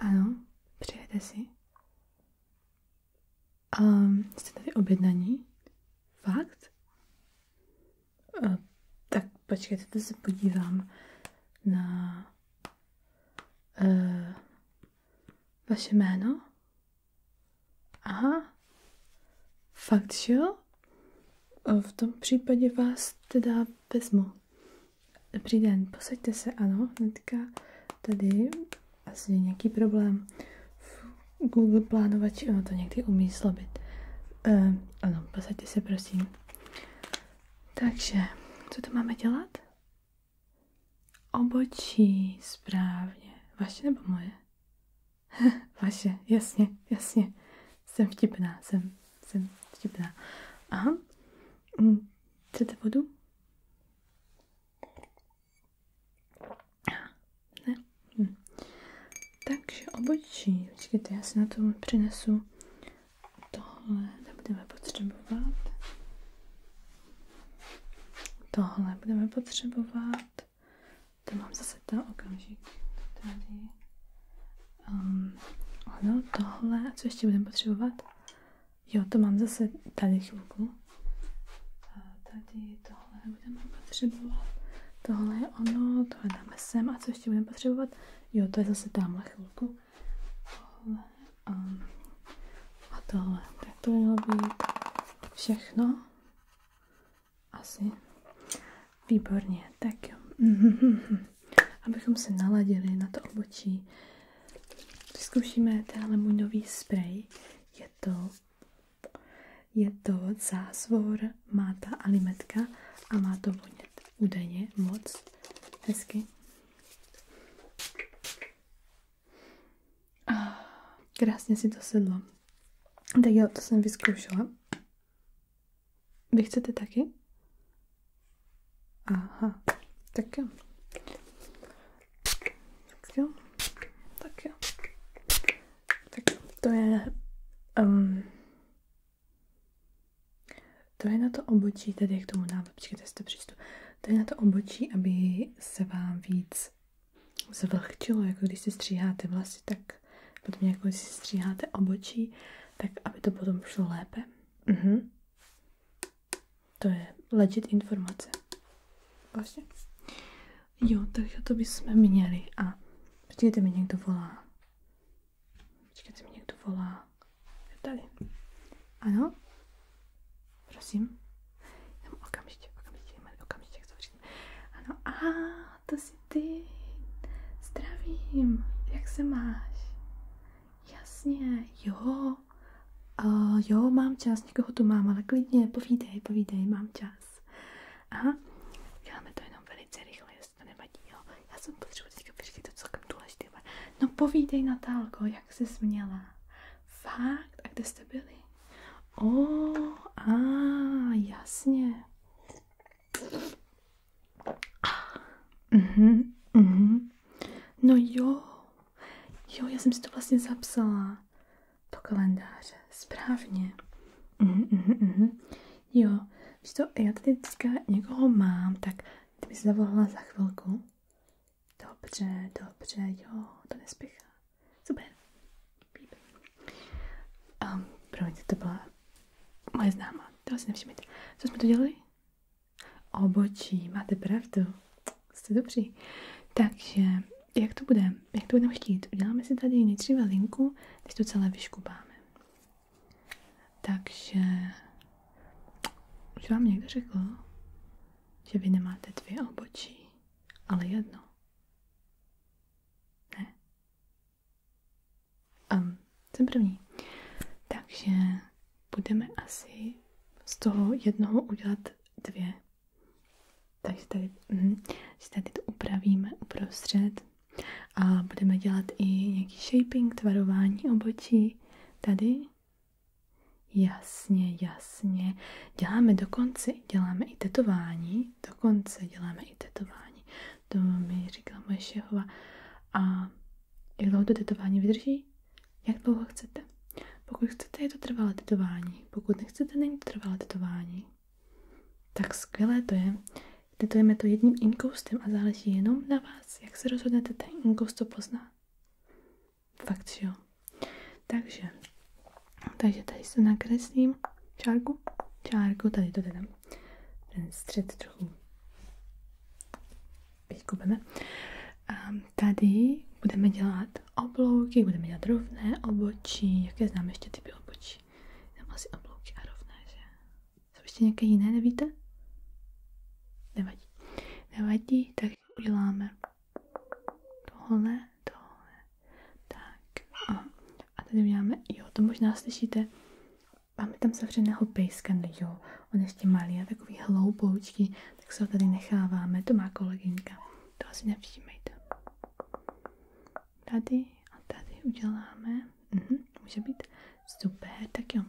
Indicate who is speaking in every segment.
Speaker 1: Ano, přijete si. Um, jste tady objednaní? Fakt? tak počkejte, to se podívám na uh, vaše jméno. Aha, fakt, že jo? V tom případě vás teda vezmu. Dobrý den, posaďte se, ano, hnedka tady asi nějaký problém. Fuh, Google plánovač, ono to někdy umí slabit. Uh, ehm, ano, posaďte se prosím. Takže, co to máme dělat? Obočí, správně. Vaše nebo moje? Vaše, jasně, jasně. Jsem vtipná, jsem, jsem vtipná. Aha. Hm, chcete vodu? Ne? Hm. Takže obočí. Počkejte, já si na to přinesu tohle. Nebudeme potřebovat. Tohle budeme potřebovat. To mám zase ta okamžik. Tady. Um, ano, tohle. A co ještě budeme potřebovat? Jo, to mám zase tady chvilku. A tady tohle budeme potřebovat. Tohle je ono, tohle dáme sem. A co ještě budeme potřebovat? Jo, to je zase tamhle chvilku. Tohle a, um, a tohle. Tak to mělo být všechno. Asi. Výborně, tak jo. Abychom se naladili na to obočí, vyzkoušíme tenhle můj nový sprej. Je to je to zásvor, má ta alimetka a má to vonět údajně moc hezky. Ah, krásně si to sedlo. Tak jo, to jsem vyzkoušela. Vy chcete taky? Aha, tak jo. Tak Tak jo. Tak to je... Um, to je na to obočí, tedy k tomu návodu, počkejte, to přistup. To je na to obočí, aby se vám víc zvlhčilo, jako když si stříháte vlasy, tak potom jako když si stříháte obočí, tak aby to potom šlo lépe. Mhm. To je legit informace. Vlastně. Jo, takže to bychom měli. A počkejte mi, někdo volá. Počkejte mi, někdo volá. Je tady. Ano? Prosím? Jenom okamžitě, okamžitě, okamžitě, jak to říkám. Ano, a to si ty. Zdravím, jak se máš? Jasně, jo. Uh, jo, mám čas vás někoho tu mám, ale klidně povídej, povídej, mám čas. Aha, děláme to jenom velice rychle, jestli to nevadí, Já jsem potřebuji teďka vyřídit to celkem důležité. No povídej, Natálko, jak jsi směla? Fakt? A kde jste byli? O, oh, a jasně. Ah, mhm, mhm. No jo, Jo, já jsem si to vlastně zapsala do kalendáře. Správně. Mm, mm, mm. Jo, víš to, já tady teďka někoho mám, tak ty mi se zavolala za chvilku. Dobře, dobře, jo, to nespěchá. Super. Um, promiňte, to byla moje známá, to si nevšimněte. Co jsme to dělali? Obočí, máte pravdu jste dobří. Takže jak to bude? Jak to budeme chtít? Uděláme si tady nejdříve linku, když to celé vyškubáme. Takže už vám někdo řekl, že vy nemáte dvě obočí, ale jedno. Ne. Um, jsem první. Takže budeme asi z toho jednoho udělat dvě. Takže tady, mm, tady to upravíme uprostřed a budeme dělat i nějaký shaping, tvarování obočí. Tady Jasně, jasně. Děláme dokonce, děláme i tetování. Dokonce děláme i tetování. To mi říkala moje šehova. A jak dlouho to tetování vydrží? jak dlouho chcete. Pokud chcete, je to trvalé tetování. Pokud nechcete, není to trvalé tetování. Tak skvělé to je. Tetujeme to jedním inkoustem a záleží jenom na vás, jak se rozhodnete ten inkoust to pozná. Fakt, jo. Takže, takže tady se nakreslím čárku, čárku, tady to teda, ten střed trochu vykupeme. Ehm, tady budeme dělat oblouky, budeme dělat rovné obočí, jaké znám ještě typy obočí. Znám asi oblouky a rovné, že? Jsou ještě nějaké jiné, nevíte? Nevadí. Nevadí, tak uděláme tohle, tohle. Tak. A, a tady uděláme, jo, to možná slyšíte, máme tam zavřeného pejska, jo. On ještě malý a takový hloupoučký, tak se ho tady necháváme. To má kolegyňka, to asi nevšímejte. Tady a tady uděláme, mhm, může být super, tak jo.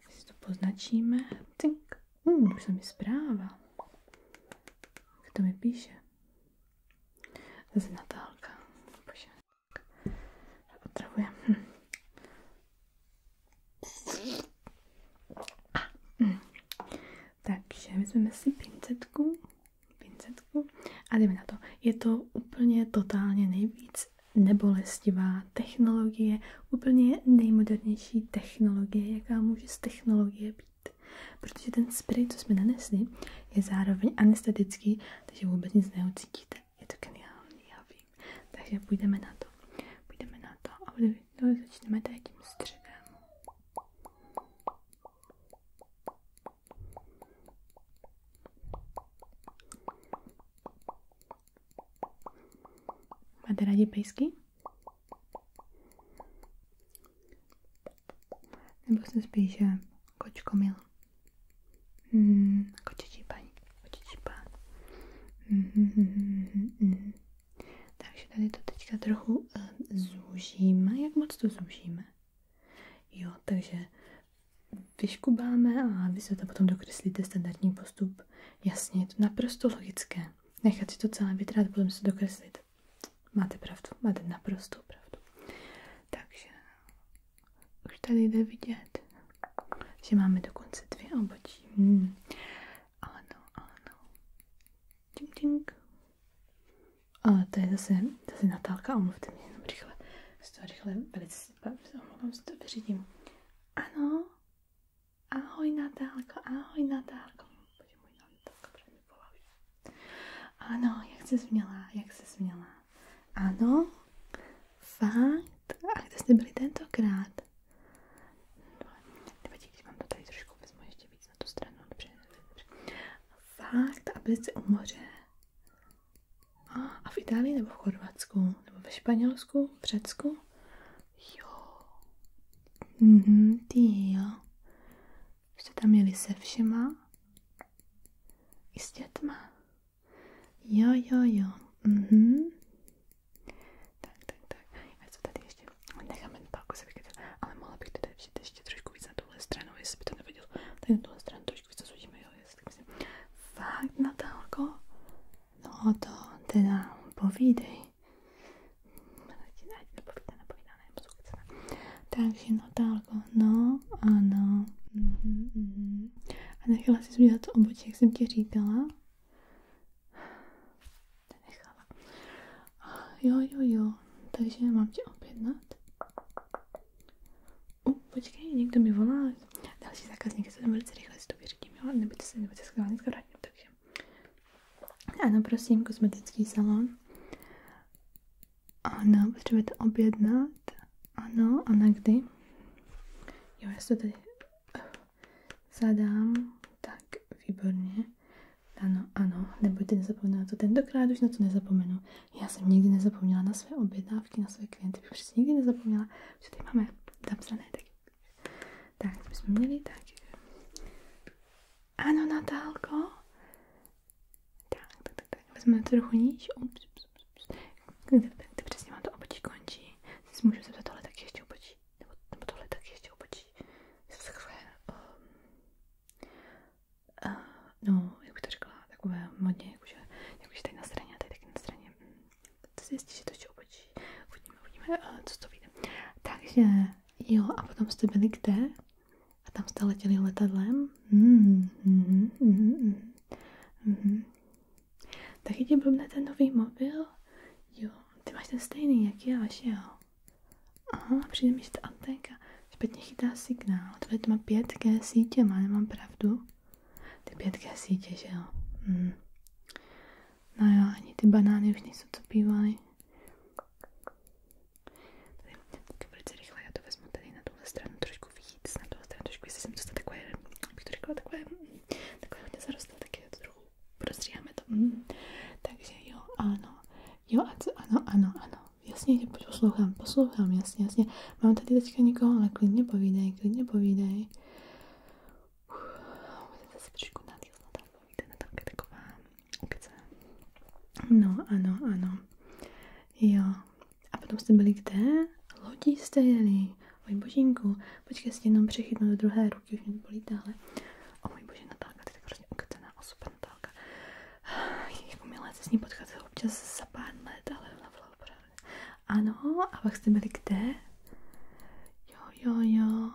Speaker 1: tak Si to poznačíme, cink, uh, mm, už se mi zpráva. Kdo mi píše? Zase Natálka. Bože, otravuje. Hm. Takže vezmeme si pincetku, pincetku a jdeme na to. Je to úplně totálně nejvíc nebolestivá technologie, úplně nejmodernější technologie, jaká může z technologie být. Protože ten spray, co jsme nanesli, je zároveň anestetický, takže vůbec nic neucítíte. Je to geniální, já nevím. Takže půjdeme na to. Půjdeme na to a no, začneme tady tím středem. Máte rádi pejsky? Nebo se spíše eh, kočkomil? Hmm, kočičí paní. Mm-hmm. Takže tady to teďka trochu eh, zúžíme. Jak moc to zúžíme? Jo, takže vyškubáme a vy se to potom dokreslíte standardní postup. Jasně, je to naprosto logické. Nechat si to celé vytrát, potom se dokreslit. Máte pravdu, máte naprosto pravdu. Takže už tady jde vidět že máme dokonce dvě obočí. Hmm. Ano, ano. Tink, tink. A to je zase, zase Natálka, omluvte mě jenom rychle. Z toho rychle velice omlouvám, že to vyřídím. Ano. Ahoj Natálko, ahoj Natálko. Bože můj, no, Natálka, protože mi volaví. Ano, jak se změla, jak se změla. Ano, Fakt? A kde jste byli tentokrát? Nevadí, když vám to tady trošku vezmu ještě víc na tu stranu. Fakt? A byli jste u moře? A v Itálii nebo v Chorvatsku? Nebo ve Španělsku? V Řecku? Jo. Mhm, ty jo. Jste tam jeli se všema? I s dětma? Jo, jo, jo. Mhm. Tak, tak, tak. A tady ještě? Necháme pálku se vykytat, ale mohla bych tady přijít ještě trošku víc na tuhle jestli by to neviděl. Tak na tuhle trošku víc zúžíme, jo, tak myslím. Fakt, Natálko? No to teda povídej. Nepovídá, nepovídá, nepovídá, Takže Natálko, no, ano. Mm -hmm, mm -hmm. A nechala jsi udělat obočí jak jsem ti říkala. Nechala. Jo, jo, jo. Takže mám tě objednat. U, počkej, někdo mi volá. Další zákazník, se tam velice rychle si to vyřídím, jo? Nebyte se, nebyte se schválně vrátím, takže. Ano, prosím, kosmetický salon. Ano, potřebujete objednat. Ano, a na kdy? Jo, já se tady zadám. Tak, výborně. Ano, ano, nebojte nezapomínat to. Tentokrát už na to nezapomenu. Já jsem nikdy nezapomněla na své objednávky, na své klienty. Bych prostě nikdy nezapomněla, že tady máme zapsané taky. Tak, co bychom měli? Tak. Ano, Natálko. Tak, tak, tak, tak. Vezmeme trochu níž. Ups, ups. Kde přesně mám to obočí končí? Si můžu zeptat tohle taky ještě obočí. Nebo, nebo tohle taky ještě obočí. Jsou takové... Um, uh, no, jak bych to řekla, takové modně, jakože, jakože tady na straně a tady taky na straně. To si jistí, že to ještě obočí. Uvidíme, uvidíme, uh, co to vyjde. Takže, jo, a potom jste byli kde? A tam jste letěli letadlem? Mm, mm, mm, mm, mm, mm. Taky ti blbne ten nový mobil? Jo, ty máš ten stejný, jak já, že jo? Aha, přijde mi, že ta anténka špatně chytá signál. Tohle to má 5G sítě, má, nemám pravdu? Ty 5G sítě, že jo? Hmm. No jo, ani ty banány už nejsou, co pívaly. Tak velice rychle, já to vezmu tady na tuhle stranu trošku víc snad do strany trošku, jestli jsem dostala takové, bych to řekla, takové, mm. ano, ano, ano, ano, jasně, že poslouchám, poslouchám, jasně, jasně. Mám tady teďka někoho, ale klidně povídej, klidně povídej. Budete se trošku na tam povídej, No, ano, ano, jo, a potom jste byli kde? Lodí jste jeli. Oj božínku, počkej si jenom přechytnu do druhé ruky, už mě bolí dále. O můj bože, Natálka, ty tak hrozně ukacená osoba, Natálka. Jako milé se s ní potkat občas za pár let, ale ona byla opravdu. Ano, a pak jste byli kde? Jo, jo, jo.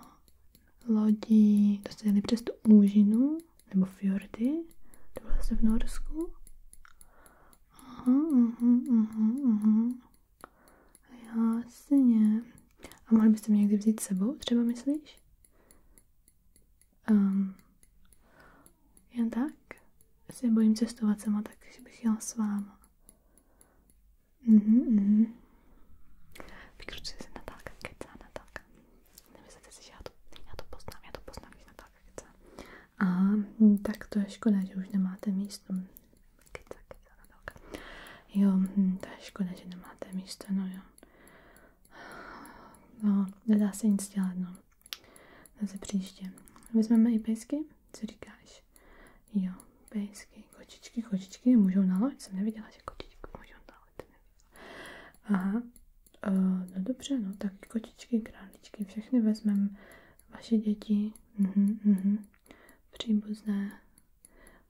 Speaker 1: Lodí, to jste jeli přes tu úžinu, nebo fjordy, to bylo se v Norsku. Aha, aha, aha, aha. Jasně. A mohli byste mě někdy vzít s sebou, třeba myslíš? Um, jen tak? Já se bojím cestovat sama, tak bych jela s váma. Mhm, mhm. Vykručuje se Natálka, kecá Natálka. Nemyslíte si, že já to, já to poznám, já to poznám, když Natálka chce. A hm, tak to je škoda, že už nemáte místo. Kyca, kyca, tak. Jo, hm, to je škoda, že nemáte místo, no jo. No, nedá se nic dělat, no. Zase příště. Vezmeme i pejsky? Co říkáš? Jo, pejsky, kočičky, kočičky můžou na loď. Jsem neviděla, že kočičky můžou na loď. Aha, Uh, no dobře, no tak kočičky, králičky, všechny vezmeme. Vaše děti, mhm, mhm, příbuzné.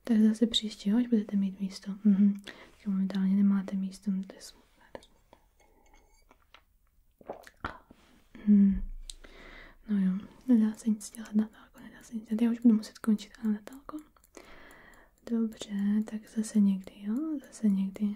Speaker 1: Tak zase příště, až budete mít místo. Mhm. Teď momentálně nemáte místo, no to je smutné. Mhm. No jo, nedá se nic dělat, Natálko, nedá se nic dělat. Já už budu muset končit, na Natálko. Dobře, tak zase někdy, jo, zase někdy.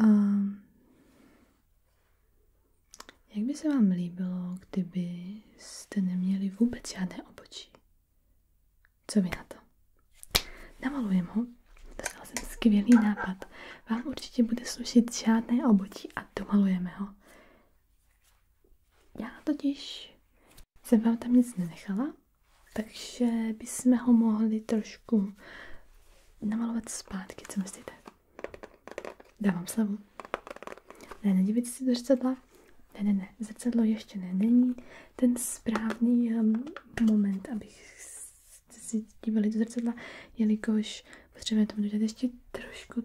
Speaker 1: Ehm, jak by se vám líbilo, kdybyste neměli vůbec žádné obočí? Co vy na to? Namalujem ho. Dostala jsem skvělý nápad. Vám určitě bude slušit žádné obočí a domalujeme ho. Já totiž jsem vám tam nic nenechala, takže bychom ho mohli trošku namalovat zpátky, co myslíte? Dávám slavu. Ne, nedívejte se do zrcadla. Ne, ne, ne, zrcadlo ještě ne, není ten správný um, moment, abych si dívali do zrcadla, jelikož potřebujeme tomu dodat ještě trošku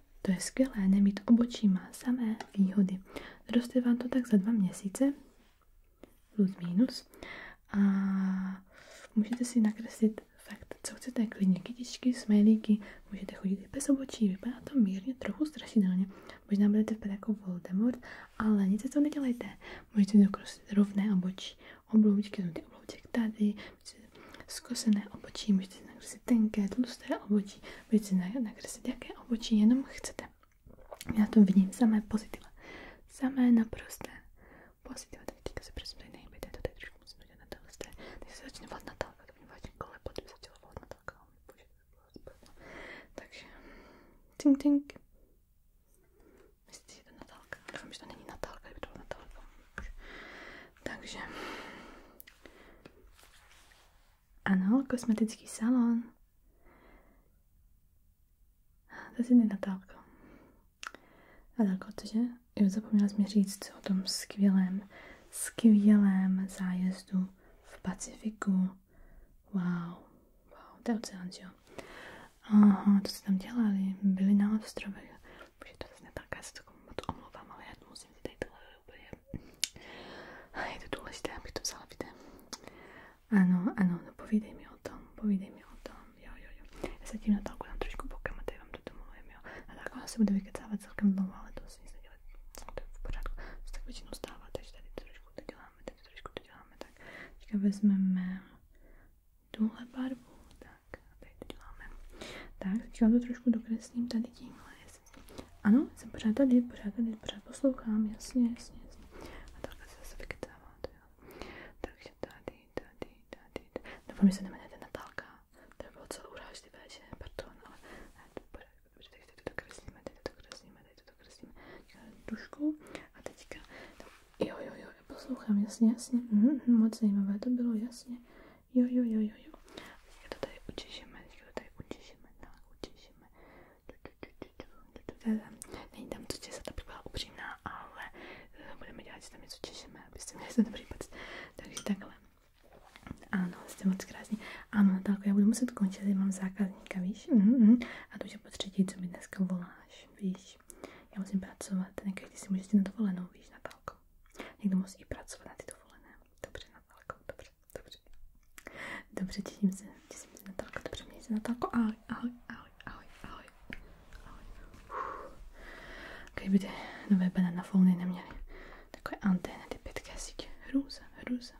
Speaker 1: To je skvělé, nemít obočí má samé výhody. Roste vám to tak za dva měsíce, plus minus, a můžete si nakreslit fakt, co chcete, klidně kytičky, smajlíky, můžete chodit i bez obočí, vypadá to mírně trochu strašidelně. Možná budete vypadat jako Voldemort, ale nic to nedělejte. Můžete dokreslit rovné obočí, obloučky, ty oblouček tady, můžete zkosené obočí, můžete si nakreslit tenké, tlusté obočí, na na nakreslit jaké obočí jenom chcete. Já na tom vidím samé pozitiva. Samé naprosté pozitiva. Tak teďka se prosím tady nejbejte, to tady trošku musím dělat na tohle straně. Teď se začne volat Natálka, to mě vlastně kole, potom se začala volat Natálka. Bože, to bylo Takže, tink tink. Myslíte, že je to Natálka? Doufám, to není Natálka, Takže, ano, kosmetický salon. To si Natálko. Natálko, cože? Jo, zapomněla jsem mi říct o tom skvělém, skvělém zájezdu v Pacifiku. Wow, wow, to je oceán, jo? Aha, to se tam dělali, byli na ostrově. Bože, to zase Natálka, já se to omlouvám, ale já musím si tady tohle úplně... Je to důležité, abych to vzala videa. Ano, ano, no povídej mi o tom, povídej mi o tom, jo, jo, jo. Já se tím Natálku dám trošku bokem a tady vám to domluvím, jo. Natálka ona se bude vykecávat celkem dlouho, ale to se nic to je v pořádku. To se tak většinou stává, takže tady to trošku to děláme, tady to trošku to děláme, tak. Teďka vezmeme tuhle barvu, tak, a tady to děláme. Tak, teďka to trošku dokreslím tady tímhle, ano, jsem pořád tady, pořád tady, pořád poslouchám, jasně, jasně, jasně. A takhle se zase vykytáváte, jo. Takže tady, tady, tady, tady. Doufám, že se nemenujete Natálka. To by bylo celou urážlivé, že pardon, ale to bude, dobře, teď to dokreslíme, teď to dokreslíme, teď to a teďka, jo, jo, jo, poslouchám, jasně, jasně, mm, moc zajímavé to bylo, jasně, Jo, jo, jo, jo, jo. Teďka to tady učišíme, teďka to tady učišíme, tak učišíme. Není tam co česat, abych byla upřímná, ale eh, budeme dělat, že tam něco češeme, abyste měli ten dobrý pocit. Takže takhle. Ano, jste moc krásný. Ano, Natálko, já budu muset končit, mám zákazníka, víš? Mm -hmm. A to už je po třetí, co mi dneska voláš, víš? Já musím pracovat, ne každý si může jít na dovolenou, víš, Natálko. Někdo musí pracovat na ty dovolené. Dobře, Natálko, dobře, dobře. Dobře, těším se, těším se, Natálko, dobře, měj se, Natálko, ahoj, ahoj, ahoj, ahoj, ahoj, ahoj. Kdyby ty nové bananafony neměly takové antény, ty 5G sítě, hrůza, hrůza.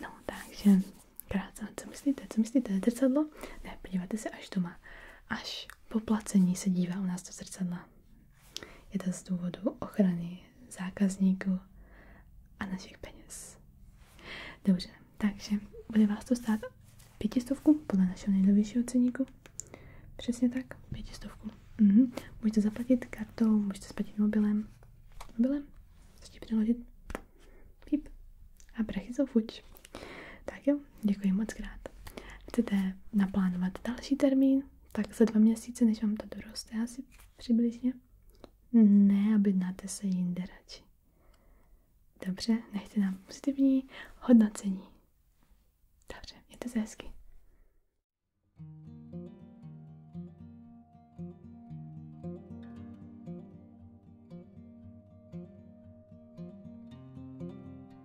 Speaker 1: No, takže, krátce, co myslíte, co myslíte, zrcadlo? Ne, podívejte se, až to má, až po placení se dívá u nás do zrcadla. Je to z důvodu ochrany zákazníků a našich peněz. Dobře, takže bude vás to stát pětistovku podle našeho nejnovějšího ceníku. Přesně tak, pětistovku. Mhm. Můžete zaplatit kartou, můžete zaplatit mobilem. Mobilem? Chcete přeložit? Píp. A prachy jsou fuč. Tak jo, děkuji moc krát. Chcete naplánovat další termín, tak za dva měsíce, než vám to doroste asi přibližně? Ne, aby náte se jinde radši. Dobře, nechte nám pozitivní hodnocení. Dobře, mějte se hezky.